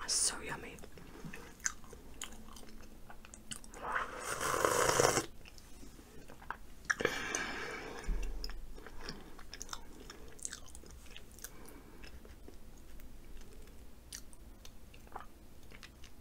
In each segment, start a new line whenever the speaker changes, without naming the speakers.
That's so yummy.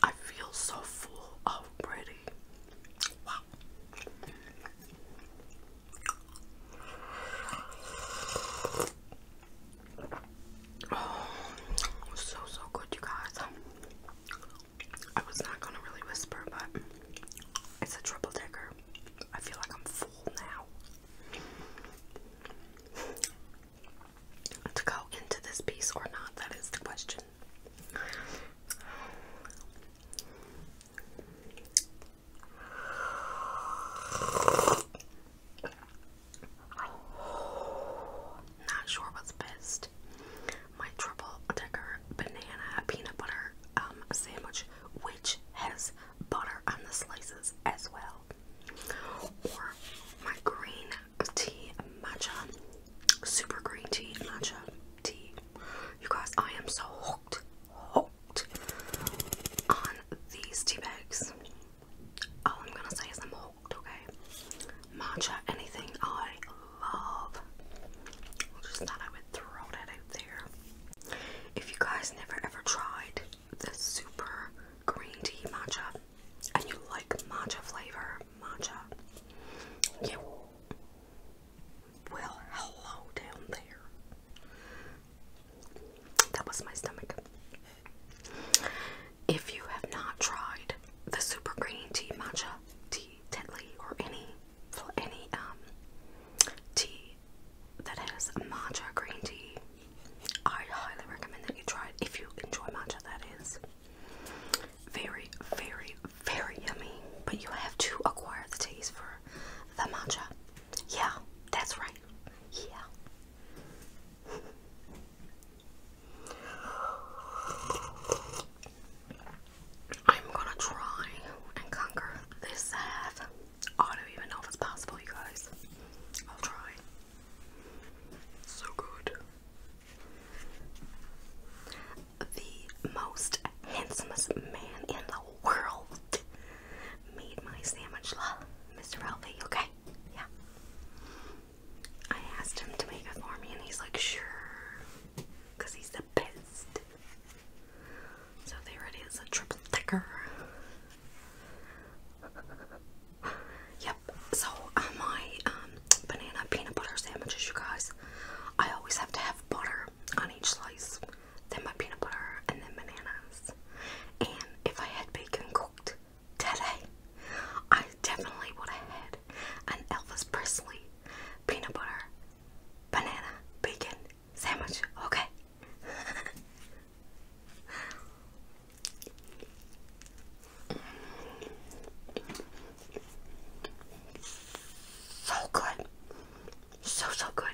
I feel so full already. Wow. Oh, so, so good, you guys. I was not gonna really whisper, but it's a triple decker. I feel like I'm full now. to go into this piece or not, that is the question. Not sure what's best. My triple decker banana peanut butter um, sandwich, which has butter on the slices as well, or my green tea matcha, super green tea matcha tea. You guys, I am so hooked, hooked on these tea bags all I'm gonna say is I'm hooked, okay? Matcha, anything I love. just thought I would throw that out there. If you guys never ever tried the super green tea matcha and you like matcha flavor, matcha, you well, hello down there. That was my stomach. If you have not tried the super green tea matcha tea tetley or any any um tea that has matcha green tea, I highly recommend that you try it if you enjoy matcha that is. Very, very, very yummy. But you have to acquire the taste for the matcha. Yeah, that's right. Yeah. I'm gonna try and conquer this half. I don't even know if it's possible, you guys. I'll try. So good. The most handsomest man in the world made my sandwich, love, Mr. Ralphie, okay? Yeah. I asked him to make it for me, and he's like, sure, because he's the best. So there it is, a triple decker. yep, so uh, my um, banana peanut butter sandwiches, you guys, I always have to have butter on each slice, then my peanut butter, and then banana. And if I had bacon cooked today, I definitely would have had an Elvis Presley peanut butter banana bacon sandwich. Okay. So good. So, so good.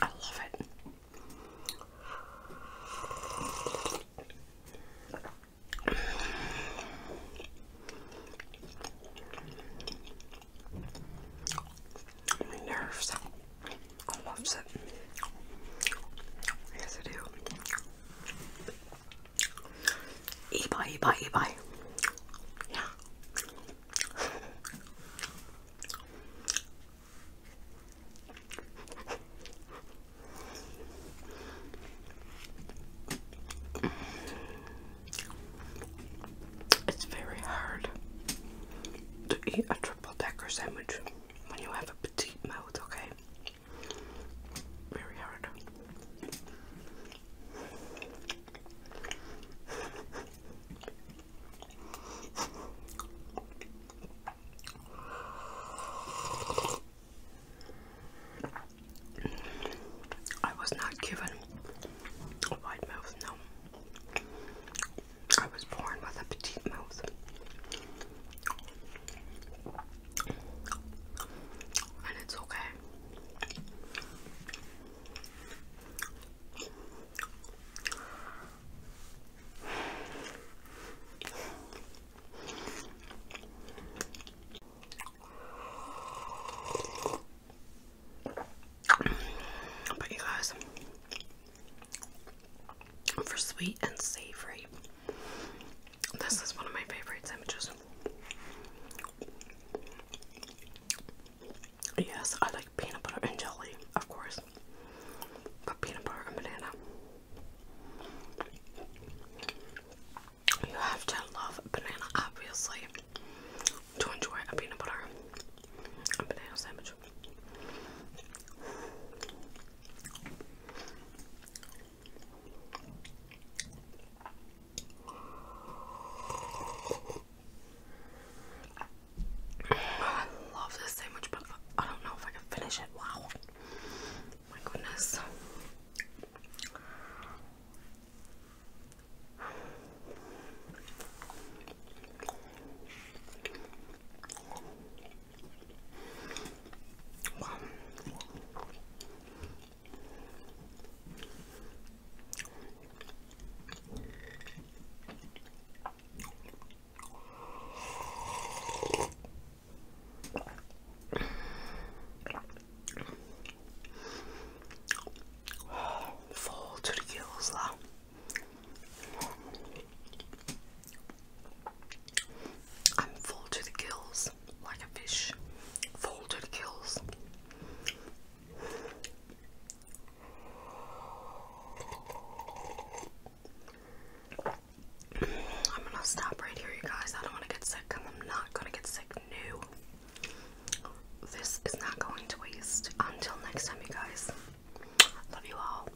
I love it. My nerves. I it. Yes, I do. Ebay, ebay, ebay. Yeah. It's very hard to eat a triple decker sandwich when you have a petite mouth, okay? Very hard. I was not given a wide mouth, no. I was born with a petite mouth and it's okay. But you guys, for sweet and savory. This is one of my favorite sandwiches. Yes, I like peanut butter and jelly, of course, but peanut butter and banana. You have to love banana, obviously, to enjoy a peanut butter and banana sandwich. I love this sandwich, but I don't know if I can finish it. Wow. My goodness. Wow. to the gills, though. I'm full to the gills, like a fish, full to the gills. I'm gonna stop right here, you guys. I don't want to get sick. I'm not gonna get sick. No, this is not going to waste. Until next time, you guys. Love you all.